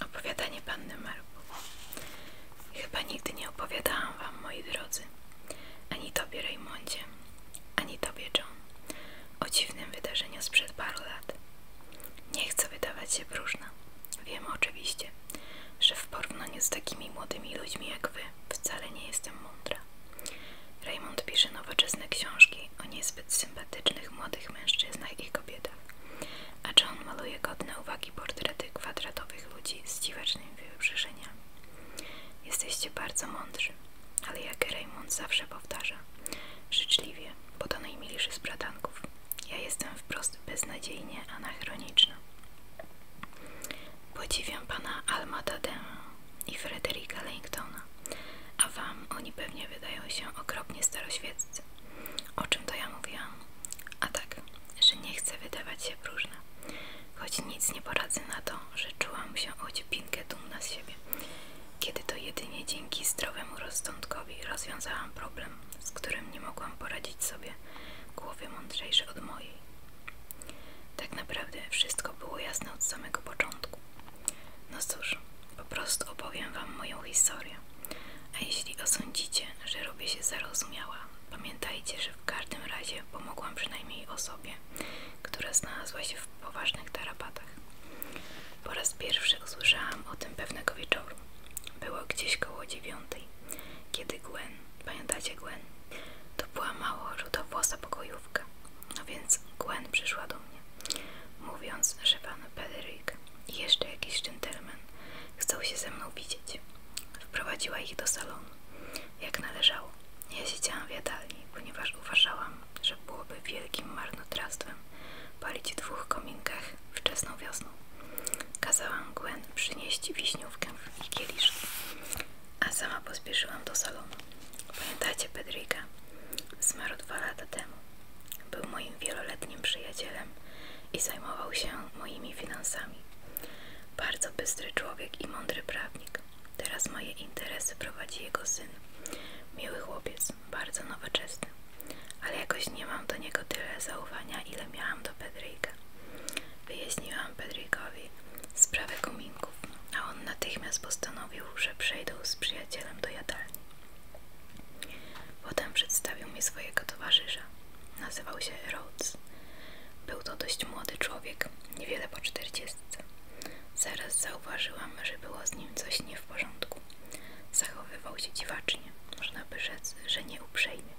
Opowiadanie Panny Marku. Chyba nigdy nie opowiadałam wam, moi drodzy, ani tobie Rejmondzie, ani tobie John, o dziwnym wydarzeniu sprzed paru lat. Nie chcę wydawać się próżna. Wiem oczywiście, że w porównaniu z takimi młodymi ludźmi jak wy wcale nie jestem mądra. Raymond pisze nowoczesne książki o niezbyt sympatycznych młodych mężczyznach i kobietach, a John maluje godne uwagi portrety kwadratowych ludzi z dziwacznymi wybrzeżeniami. Jesteście bardzo mądrzy. Ale jak Raymond zawsze powtarza, życzliwie, bo to najmilszy z bratanków. Ja jestem wprost beznadziejnie anachroniczna. Podziwiam pana Alma Tadema i Frederika Langtona, a wam oni pewnie wydają się okropnie staroświeccy. O czym to ja mówiłam? A tak, że nie chcę wydawać się próżna, choć nic nie poradzę na to, że czułam się odciepinkę dumna z siebie kiedy to jedynie dzięki zdrowemu rozsądkowi rozwiązałam problem, z którym nie mogłam poradzić sobie głowie mądrzejsze od mojej. Tak naprawdę wszystko było jasne od samego początku. No cóż, po prostu opowiem Wam moją historię. A jeśli osądzicie, że robię się zarozumiała, pamiętajcie, że w każdym razie pomogłam przynajmniej osobie, która znalazła się poważnych tarapatach. Po raz pierwszy usłyszałam o tym pewnego wieczoru. Było gdzieś koło dziewiątej, kiedy Gwen, pamiętacie Gwen? To była mało rudowłosa pokojówka, no więc Gwen przyszła do mnie, mówiąc, że pan Pederyk i jeszcze jakiś dżentelmen chcą się ze mną widzieć. Wprowadziła ich do salonu, jak należało. Ja siedziałam w jadalni, ponieważ uważałam, że byłoby wielkim marnotrawstwem palić w dwóch kominkach wczesną wiosną. Kazałam Gwen przynieść wiśniówkę i kieliszki, a sama pospieszyłam do salonu. Pamiętacie Pedryka? Zmarł dwa lata temu. Był moim wieloletnim przyjacielem i zajmował się moimi finansami. Bardzo bystry człowiek i mądry prawnik. Teraz moje interesy prowadzi jego syn. Miły chłopiec, bardzo nowoczesny. Ale jakoś nie mam do niego tyle zaufania, ile miałam do Pedryka. Wyjaśniłam Pedrykowi sprawę kominków, a on natychmiast postanowił, że przejdą z przyjacielem do jadalni. Potem przedstawił mi swojego towarzysza. Nazywał się Rhodes. Był to dość młody człowiek, niewiele po czterdziestce. Zaraz zauważyłam, że było z nim coś nie w porządku. Zachowywał się dziwacznie, można by rzec, że nie uprzejmie.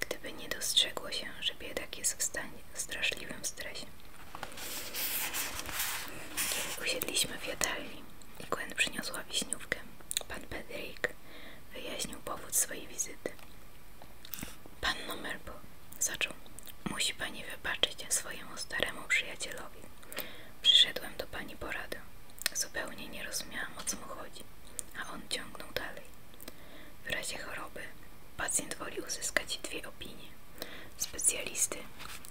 Gdyby nie dostrzegło się, że biedak jest w stanie w straszliwym stresie. Kiedy usiedliśmy w jadalni i Gwen przyniosła wiśniówkę, pan Pedrik wyjaśnił powód swojej wizyty. Panno Merbo zaczął. Musi pani wybaczyć swojemu staremu przyjacielowi Przyszedłem do pani porady. Zupełnie nie rozumiałam, o co mu chodzi, a on ciągnął dalej. W razie choroby pacjent woli uzyskać dwie opinie specjalisty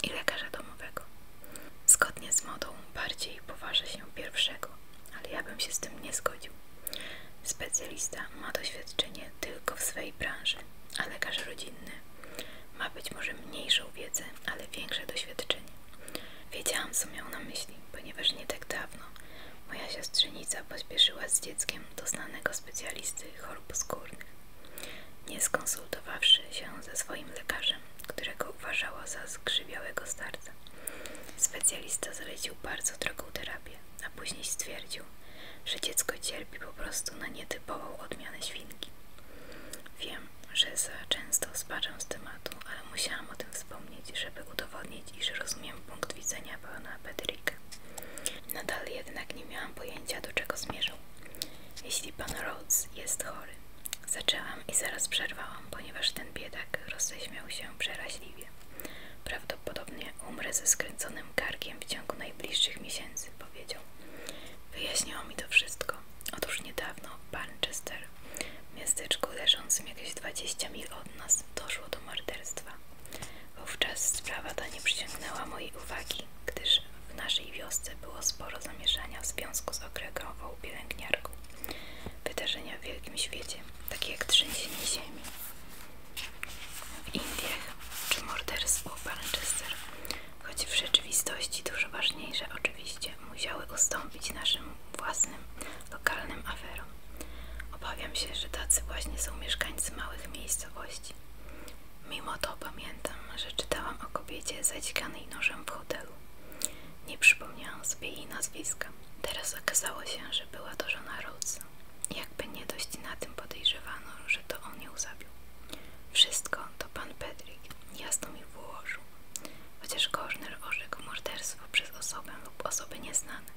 i lekarza domowego. Zgodnie z modą bardziej poważa się pierwszego, ale ja bym się z tym nie zgodził. Specjalista ma doświadczenie tylko w swej branży, a lekarz rodzinny ma być może mniejszą wiedzę, ale większe doświadczenie. Wiedziałam, co miał na myśli, ponieważ nie tak dawno moja siostrzenica pośpieszyła z dzieckiem do znanego specjalisty chorób skórnych, nie skonsultowawszy się ze swoim lekarzem, którego uważała za skrzywiałego starca. Specjalista zalecił bardzo drogą terapię, a później stwierdził, że dziecko cierpi po prostu na nietypową odmianę świnki. Wiem, że za często spaczam z tematu, ale musiałam o tym wspomnieć, żeby udowodnić, że rozumiem punkt widzenia pana Pedrika. Nadal jednak nie miałam pojęcia, do czego zmierzał. Jeśli pan Rhodes jest chory, zaczęłam i zaraz przerwałam, ponieważ ten biedak roześmiał się przeraźliwie. Prawdopodobnie umrę ze skręconym karkiem w ciągu najbliższych miesięcy, powiedział wyjaśniało mi to wszystko. Otóż niedawno w Barnchester, miasteczku leżącym jakieś 20 mil od nas, doszło do morderstwa. Wówczas sprawa ta nie przyciągnęła mojej uwagi, gdyż w naszej wiosce było sporo zamieszania w związku z okregową pielęgniarką. Wydarzenia w wielkim świecie, takie jak trzęsienie ziemi w Indiach czy morderstwo w Barnchester choć w rzeczywistości dużo ważniejsze oczywiście musiały ustąpić naszym własnym, lokalnym aferom. Obawiam się, że tacy właśnie są mieszkańcy małych miejscowości. Mimo to pamiętam, że czytałam o kobiecie zadzikanej nożem w hotelu. Nie przypomniałam sobie jej nazwiska. Teraz okazało się, że była to żona Rhodesa. Jakby nie dość na tym podejrzewano, że to on ją zabił. Wszystko konto pan Pedrik jasno mi wyłożył, chociaż Korzner orzekł morderstwo przez osobę lub osoby nieznane.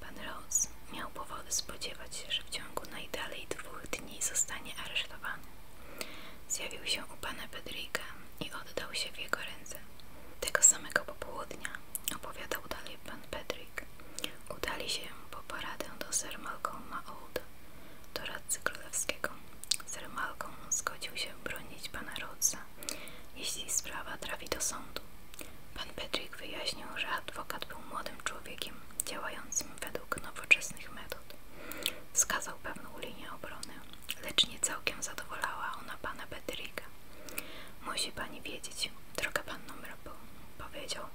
Pan Rose miał powody spodziewać się, że w ciągu najdalej dwóch dni zostanie aresztowany. Zjawił się u pana Pedrika i oddał się w jego ręce. Tego samego popołudnia, opowiadał dalej pan Pedrik, udali się po paradę do Sir Malcolma Olda. Do doradcy królewskiego. Sir Malcolm zgodził się bronić pana Rodza, jeśli sprawa trafi do sądu. Pan Patrick wyjaśnił, że adwokat był młodym człowiekiem działającym według nowoczesnych metod. Wskazał pewną linię obrony, lecz nie całkiem zadowolała ona pana Patricka. Musi pani wiedzieć, droga panno Mrobel, powiedział,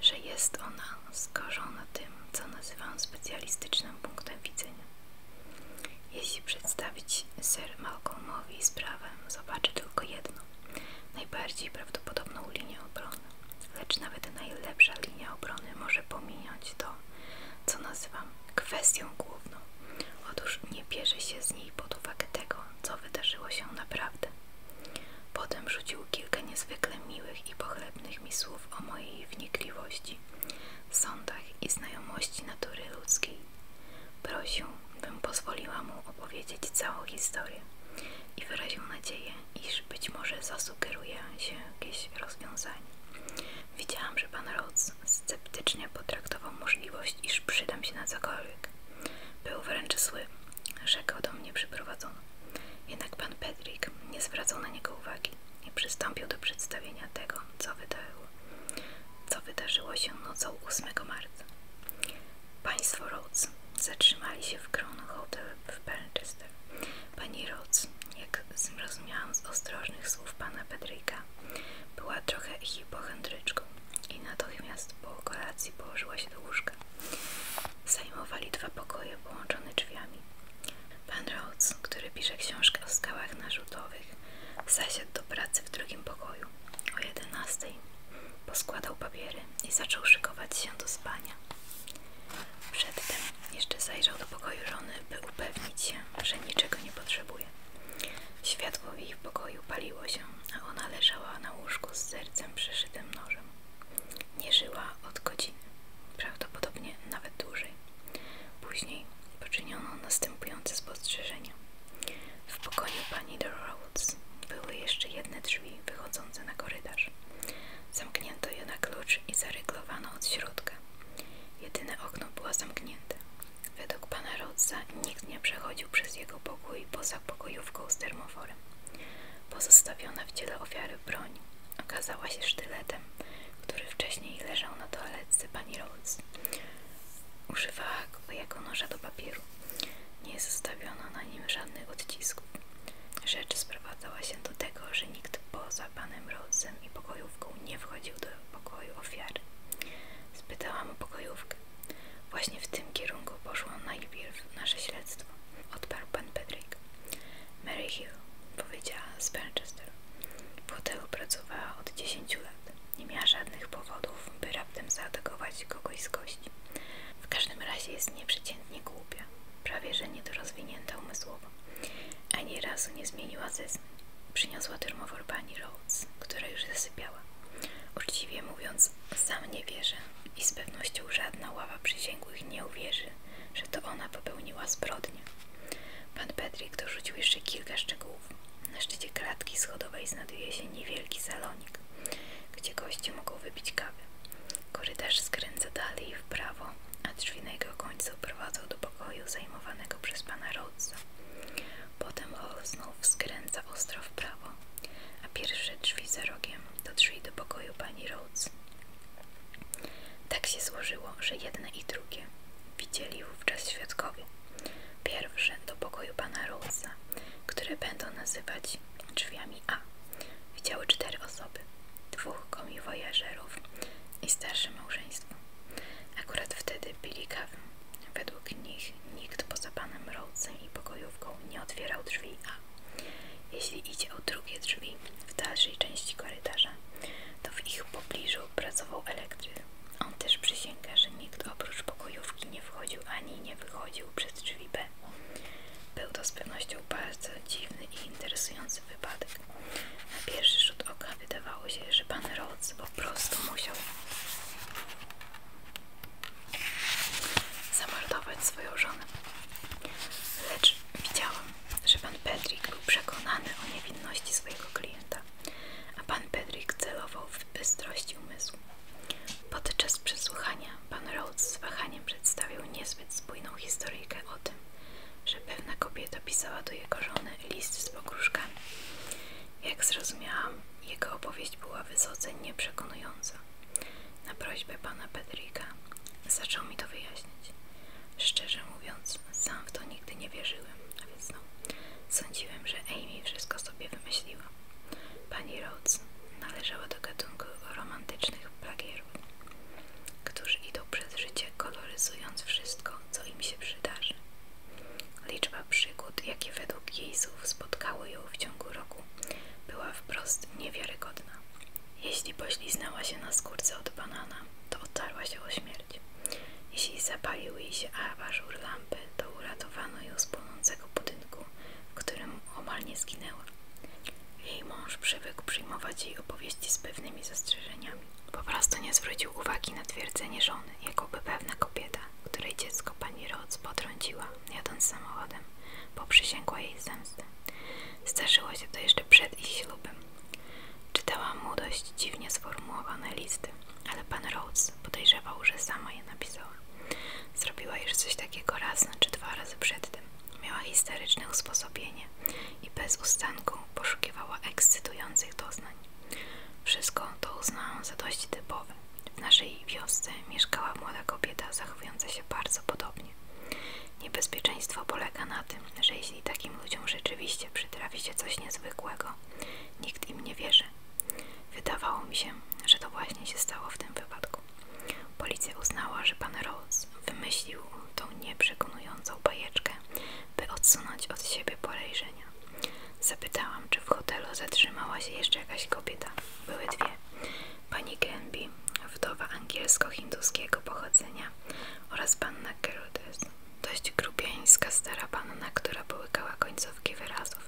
że jest ona skorzona tym, co nazywam specjalistycznym punktem widzenia. Jeśli przedstawić Sir Malcolmowi sprawę, zobaczy tylko jedno, najbardziej prawdopodobną linię obrony, lecz nawet najlepsza linia obrony może pominąć to, co nazywam kwestią główną. Otóż nie bierze się z niej pod uwagę tego, co wydarzyło się naprawdę. Potem rzucił kilka niezwykle miłych i pochlebnych mi słów o mojej wnikliwości, sądach i znajomości natury ludzkiej. Prosił, bym pozwoliła mu opowiedzieć całą historię i wyraził nadzieję, iż być może zasugeruje się jakieś rozwiązanie. Widziałam, że pan Rhodes sceptycznie potraktował możliwość, iż przydam się na cokolwiek. Był wręcz zły, rzekał do mnie przyprowadzono. Jednak pan Pedrick nie zwracał na niego uwagi i przystąpił do przedstawienia tego, co wydarzyło, co wydarzyło się nocą 8 marca. Państwo Rhodes zatrzymali się w Crown Hotel w Manchester. Pani Rhodes, jak zrozumiałam z ostrożnych słów pana Pedricka, była trochę hipochondryczką i natychmiast po kolacji położyła się do łóżka. Zajmowali dwa pokoje połączone drzwiami. Pan Rhodes, który pisze książkę o skałach narzutowych, zasiadł do pracy w drugim pokoju o 11. Poskładał papiery i zaczął szykować się do spania. Przedtem jeszcze zajrzał do pokoju żony, by upewnić się, że niczego nie potrzebuje. Światło w jej pokoju paliło się, a ona leżała na łóżku z sercem przeszytym nożem. Nie żyła od godziny, prawdopodobnie nawet dłużej. Później poczyniono następujące spostrzeżenia. W pokoju pani de były jeszcze jedne drzwi wychodzące na korytarz. Zamknięto je na klucz i zaryglowano od środka. Jedyne okno było zamknięte. Według pana Rodza nikt nie przechodził przez jego pokój poza pokojówką z termoforem. Pozostawiona w ciele ofiary broń okazała się sztyletem, który wcześniej leżał na toaletce pani Rhodes. Używała go jako noża do papieru. Nie zostawiono na nim żadnych odcisków. Rzecz sprowadzała się do tego, że nikt poza panem Rhodesem i pokojówką nie wchodził do pokoju ofiary. Spytałam o pokojówkę. Właśnie w tym kierunku poszło najpierw nasze śledztwo, odparł pan Pedryk. Mary Hill, powiedziała z Manchester. W hotelu pracowała od 10 lat. Nie miała żadnych powodów, by raptem zaatakować kogoś z gości. W każdym razie jest nieprzeciętnie głupia, prawie że niedorozwinięta umysłowo. Ani razu nie zmieniła zeznań. Przyniosła termowór pani Rhodes, która już zasypiała. Uczciwie mówiąc, sam nie wierzę i z pewnością żadna ława przysięgłych nie uwierzy, że to ona popełniła zbrodnię. Pan Petrik dorzucił jeszcze kilka szczegółów. Na szczycie klatki schodowej znajduje się niewielki salonik, gdzie goście mogą wybić kawę. Korytarz skręca dalej w prawo, a drzwi na jego końcu prowadzą do pokoju zajmowanego przez pana Rhodesa. Potem Hall znów skręca ostro w prawo, a pierwsze drzwi za rogiem to drzwi do pokoju pani Rhodes. Tak się złożyło, że jedne i drugie widzieli wówczas świadkowie. Pierwsze do pokoju pana Rhodesa, które będą nazywać drzwiami A, widziały cztery osoby, dwóch komiwojażerów i starsze małżeństwo. Akurat wtedy pili kawę. Według nich nikt poza panem Rhodesem i pokojówką nie otwierał drzwi A. Jeśli idzie o drugie drzwi w dalszej części korytarza, to w ich pobliżu pracował elektryk. On też przysięga, że nikt oprócz pokojówki nie wchodził ani nie wychodził przez drzwi B. Był to z pewnością bardzo dziwny i interesujący wypadek. Na pierwszy rzut oka wydawało się, że pan Rhodes po prostu musiał zamordować swoją żonę. Lecz widziałam, że pan Pedrik był przekonany o niewinności swojego klienta, a pan Pedrik celował w bystrości umysłu. Podczas przesłuchania pan Rhodes z wahaniem przedstawił niezbyt spójną historyjkę o tym, że pewna kobieta pisała do jego żony list z pogróżkami. Jak zrozumiałam, jego opowieść była wysoce nieprzekonująca. Na prośbę pana Pedrika zaczął mi to wyjaśniać. Szczerze mówiąc, sam w to nigdy nie wierzyłem, a więc no, sądziłem, że Amy wszystko sobie wymyśliła. Pani Rhodes należała do gatunku romantycznych plagierów, którzy idą przez życie koloryzując wszystko, co im się przydarzy. Liczba przygód, jakie według jej słów spotkały ją w ciągu roku, była wprost niewiarygodna. Jeśli pośliznęła się na skórce od banana, to otarła się o śmierć. Jeśli zapalił jej się aważur lampy, to uratowano ją z płonącego budynku, w którym omal nie zginęła. Jej mąż przywykł przyjmować jej opowieści z pewnymi zastrzeżeniami. Po prostu nie zwrócił uwagi na twierdzenie żony, jakoby pewna kobieta, której dziecko pani Roc potrąciła, jadąc samochodem, poprzysięgła jej zemstę. Zdarzyło się to jeszcze przed ich ślubem, Czytałam mu dość dziwnie sformułowane listy, ale pan Rhodes podejrzewał, że sama je napisała. Zrobiła już coś takiego raz czy dwa razy przedtem. Miała histeryczne usposobienie i bez ustanku poszukiwała ekscytujących doznań. Wszystko to uznałam za dość typowe. W naszej wiosce mieszkała młoda kobieta zachowująca się bardzo podobnie. Niebezpieczeństwo polega na tym, że jeśli takim ludziom rzeczywiście przytrafi się coś niezwykłego, nikt im nie wierzy. Wydawało mi się, że to właśnie się stało w tym wypadku. Policja uznała, że pan Rhodes wymyślił tą nieprzekonującą bajeczkę, by odsunąć od siebie podejrzenia. Zapytałam, czy w hotelu zatrzymała się jeszcze jakaś kobieta. Były dwie. Pani Grenby, wdowa angielsko-hinduskiego pochodzenia, oraz panna Gerudys, dość grubiańska stara panna, która połykała końcówki wyrazów.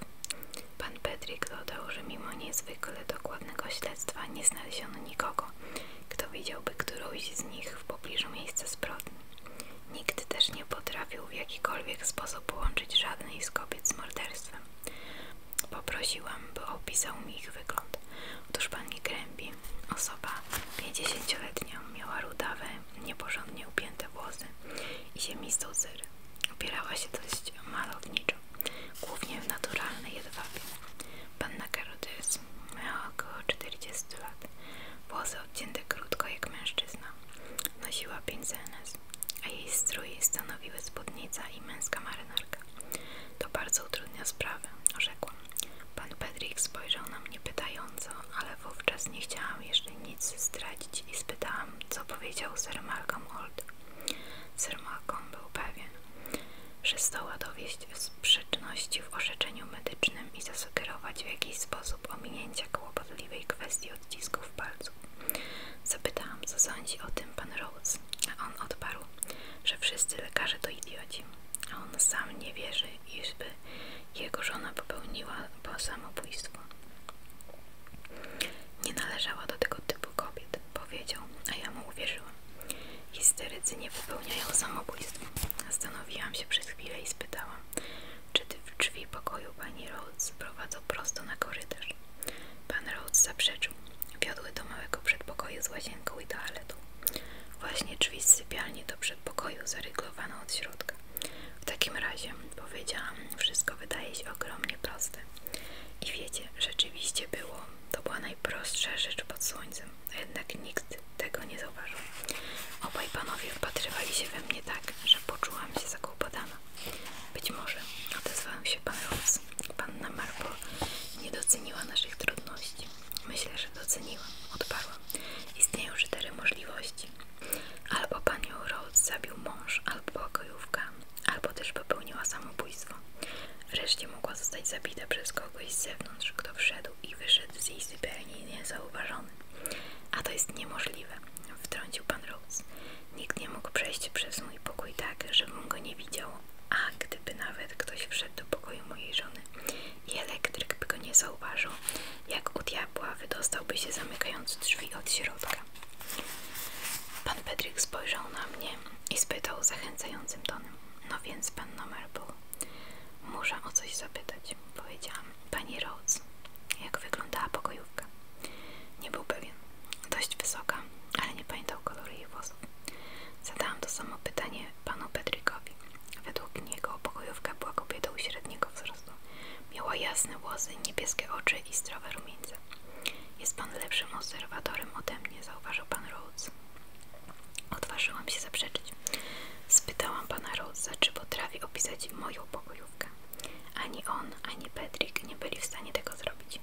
Pan Petrik dodał, że mimo niezwykle dokładnego śledztwa nie znaleziono nikogo, kto widziałby którąś z nich w pobliżu miejsca zbrodni. Nikt też nie potrafił w jakikolwiek sposób połączyć żadnej z kobiet z morderstwem. Poprosiłam, by opisał mi ich wygląd. Otóż pani Grębi Osoba 50-letnia miała rudawe, nieporządnie upięte włosy i ziemistą zyrę. Opierała się dość malowniczo, głównie w naturalnej jedwabie. Panna Carotis miała około 40 lat, włosy odcięte krótko jak mężczyzna. Nosiła pięć zenes, a jej strój stanowiły spódnica i męska marynarka. To bardzo utrudnia sprawę, rzekłam. Pan Pedrik spojrzał na mnie pytająco, ale wówczas nie chciałam jeszcze nic zdradzić i spytałam, co powiedział Sir Malcolm Old. Sir Malcolm był pewien, że zdoła dowieść sprzeczności w orzeczeniu medycznym i zasugerować w jakiś sposób ominięcia kłopotliwej kwestii odcisków palców. Zapytałam, co sądzi o tym pan Rhodes, a on odparł, że wszyscy lekarze to idioci a on sam nie wierzy, iżby jego żona popełniła po samobójstwo. Nie należała do tego typu kobiet, powiedział, a ja mu uwierzyłam. Histerycy nie popełniają samobójstw. Zastanowiłam się przez chwilę i spytałam, czy w drzwi pokoju pani Rhodes prowadzą prosto na korytarz. Pan Rhodes zaprzeczył. Wiodły do małego przedpokoju z łazienką i toaletą. Właśnie drzwi z sypialni do przedpokoju zaryglowano od środka. W takim razie, powiedziałam, wszystko wydaje się ogromnie proste. I wiecie, rzeczywiście było. To była najprostsza rzecz pod słońcem, a jednak nikt tego nie zauważył. Obaj panowie wpatrywali się we mnie tak, że poczułam się zakłopotana. Być może, odezwałem się pan Ross. Panna Marple nie doceniła naszych trudności. Myślę, że doceniłam, odparła. Istnieją cztery możliwości. Albo panią Rhodes zabił mąż, albo pokojówka, albo też popełniła samobójstwo. Wreszcie mogła zostać zabita przez kogoś z zewnątrz, kto wszedł i wyszedł z jej sypialni niezauważony. A to jest niemożliwe, wtrącił pan Rhodes. Nikt nie mógł przejść przez mój pokój tak, żebym go nie widziało. a gdyby nawet ktoś wszedł do pokoju mojej żony, i elektryk by go nie zauważył, jak u diabła wydostałby się zamykając drzwi od środka. Pan Pedryk spojrzał na mnie i spytał zachęcającym tonem, no więc panno Marble, muszę o coś zapytać, powiedziałam. Pani Rhodes, jak wyglądała pokojówka? Nie był pewien. Dość wysoka, ale nie pamiętał koloru jej włosów. Zadałam to samo pytanie panu Pedrykowi. Według niego pokojówka była kobietą średniego wzrostu. Miała jasne włosy, niebieskie oczy i zdrowe rumieńce. Jest pan lepszym obserwatorem ode mnie, zauważył pan Rhodes. Odważyłam się zaprzeczyć. Spytałam pana Rhodesa, czy potrafi opisać moją pokojówkę. Ani on, ani Patrick nie byli w stanie tego zrobić.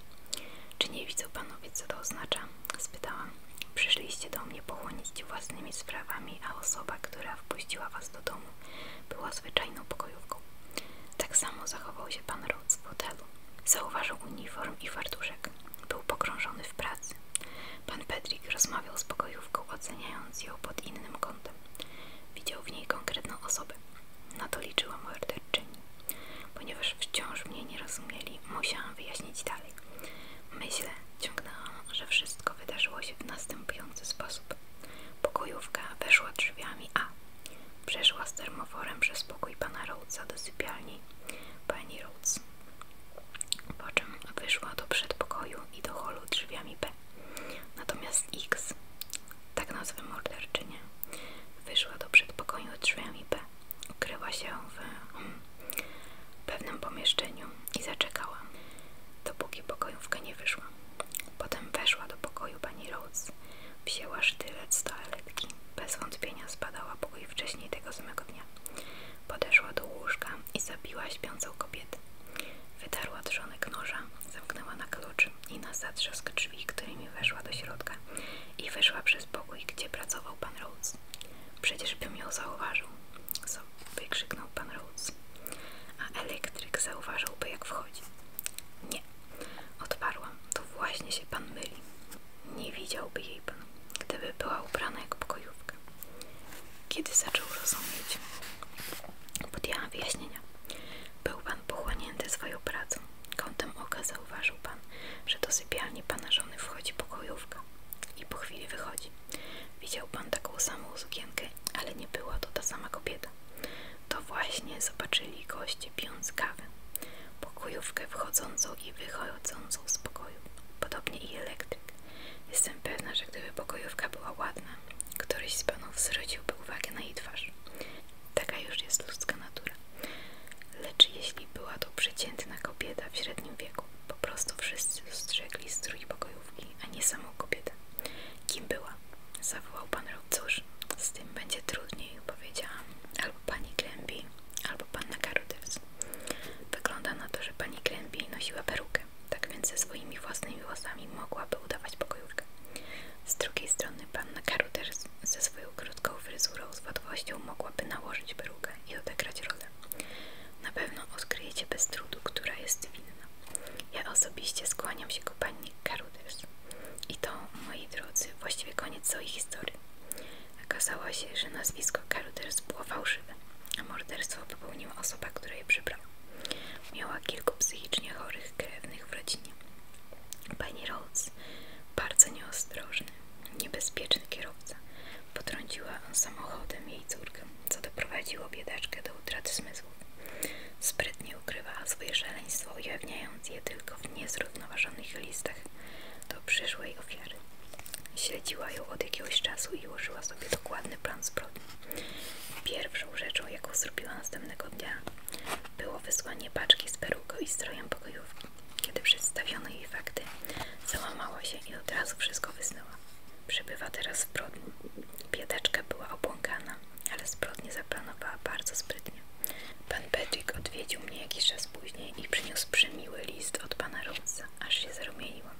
Czy nie widzą panowie, co to oznacza? spytałam. Przyszliście do mnie pochłonić własnymi sprawami, a osoba, która wpuściła was do domu, była zwyczajną pokojówką. Tak samo zachował się pan Rhodes w hotelu. Zauważył uniform i fartuszek. Był pogrążony w pracy. Pan Patrick rozmawiał z pokojówką, oceniając ją pod innym kątem. Widział w niej konkretną osobę. Na to liczyła morderczyni. Ponieważ wciąż mnie nie rozumieli, musiałam wyjaśnić dalej. Tak dalej. Myślę, ciągnęłam, że wszystko wydarzyło się w następujący sposób. Pokojówka weszła drzwiami A. Przeszła z termoforem przez pokój pana Rhoadesa do sypialni pani Rhodes. Po czym wyszła do przedpokoju i do holu drzwiami B. Natomiast X, tak nazwę morderczynię, wyszła do przedpokoju drzwiami B. Ukryła się w hmm, w pewnym pomieszczeniu i zaczekała, dopóki pokojówka nie wyszła. Potem weszła do pokoju pani Rose, wzięła sztylet z toaletki, bez wątpienia spadała pokój wcześniej tego samego dnia. Podeszła do łóżka i zabiła śpiącą kobietę. Wytarła trzonek noża, zamknęła na klucz i na zatrzask drzwi, którymi weszła do środka i wyszła przez pokój, gdzie pracował pan Rhodes. Rhodes. Przecież bym ją zauważył, co wykrzyknął pan Rhodes. A elektryk zauważyłby, jak wchodzi. Nie, odparłam, to właśnie się pan myli. Nie widziałby jej pan, gdyby była ubrana jak pokojówka. Kiedy zaczął rozumieć, podjęłam wyjaśnienia. Był pan pochłonięty swoją pracą. Kątem oka zauważył pan, że do sypialni pana żony wchodzi pokojówka i po chwili wychodzi. Widział pan taką samą sukienkę, ale nie była to ta sama kobieta. To właśnie zobaczyli goście piąc kawę, pokojówkę wchodzącą i wychodzącą z pokoju, podobnie i elektryk. Jestem pewna, że gdyby pokojówka była ładna, któryś z panów zwróciłby uwagę na jej twarz. Taka już jest ludzka natura. Lecz jeśli była to przeciętna kobieta w średnim wieku, po prostu wszyscy dostrzegli strój pokojówki, a nie samą kobietę. Kim była? Zawołał pan Rob. Cóż, z tym będzie trudniej, powiedziała. Albo pani Klębi, albo panna Karuters. Wygląda na to, że pani Klębi nosiła perukę, tak więc ze swoimi własnymi włosami mogłaby udawać pokojówkę. Z drugiej strony panna Karuters ze swoją krótką fryzurą z łatwością mogłaby nałożyć perukę i odegrać rolę. Na pewno odkryjecie bez trudu, która jest winna. Ja osobiście skłaniam się ku pani Carruthers. I to, moi drodzy, właściwie koniec całej historii. Okazało się, że nazwisko Carruthers było fałszywe, a morderstwo popełniła osoba, która je przybrała. Miała kilku psychicznie chorych krewnych w rodzinie. Pani Rhodes, bardzo nieostrożny, niebezpieczny kierowca, Potrąciła samochodem jej córkę, co doprowadziło biedaczkę do utraty zmysłów. Sprytnie ukrywała swoje szaleństwo, ujawniając je tylko w niezrównoważonych listach do przyszłej ofiary. Śledziła ją od jakiegoś czasu i ułożyła sobie dokładny plan zbrodni. Pierwszą rzeczą, jaką zrobiła następnego dnia, było wysłanie paczki z peruką i strojem pokojówki. Kiedy przedstawiono jej fakty, załamała się i od razu wszystko wyznała. Przebywa teraz w Brodni. była obłąkana, ale zbrodnię zaplanowała bardzo sprytnie. Pan Patrick odwiedził mnie jakiś czas później i przyniósł przymiły list od pana Rosa, aż się zarumieniłam.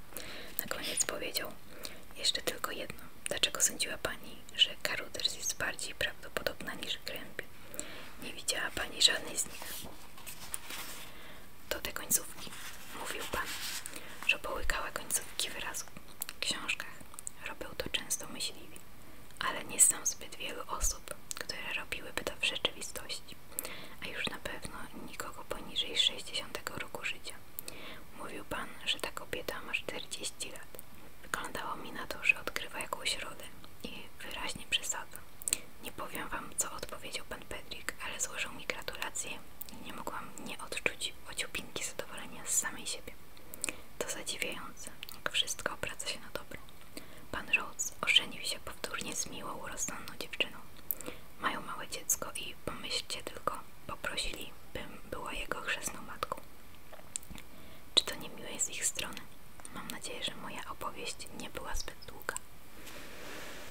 Na koniec powiedział, jeszcze tylko jedno. Dlaczego sądziła pani, że Carruthers jest bardziej prawdopodobna niż Gręby? Nie widziała pani żadnej z nich do tej końcówki. Mówił pan, że połykała końcówki wyrazów w książkach. Robił to często myśliwie, ale nie znam zbyt wielu osób, które robiłyby to w rzeczywistości, a już na pewno nikogo poniżej 60 roku życia. Mówił pan, że ta kobieta ma 40 lat. Wyglądało mi na to, że odkrywa jakąś rodę i wyraźnie przesadza. Nie powiem wam, co odpowiedział pan Pedrik, ale złożył mi gratulacje i nie mogłam nie odczuć ociupinki zadowolenia z samej siebie. To zadziwiające, jak wszystko obraca się na dobre. Pan Rhodes ożenił się powtórnie z miłą, urosnąną dziewczyną. Mają małe dziecko i pomyślcie tylko, poprosili, bym była jego chrzestną matką. Czy to nie miłe z ich strony? Mam nadzieję, że moja opowieść nie była zbyt długa.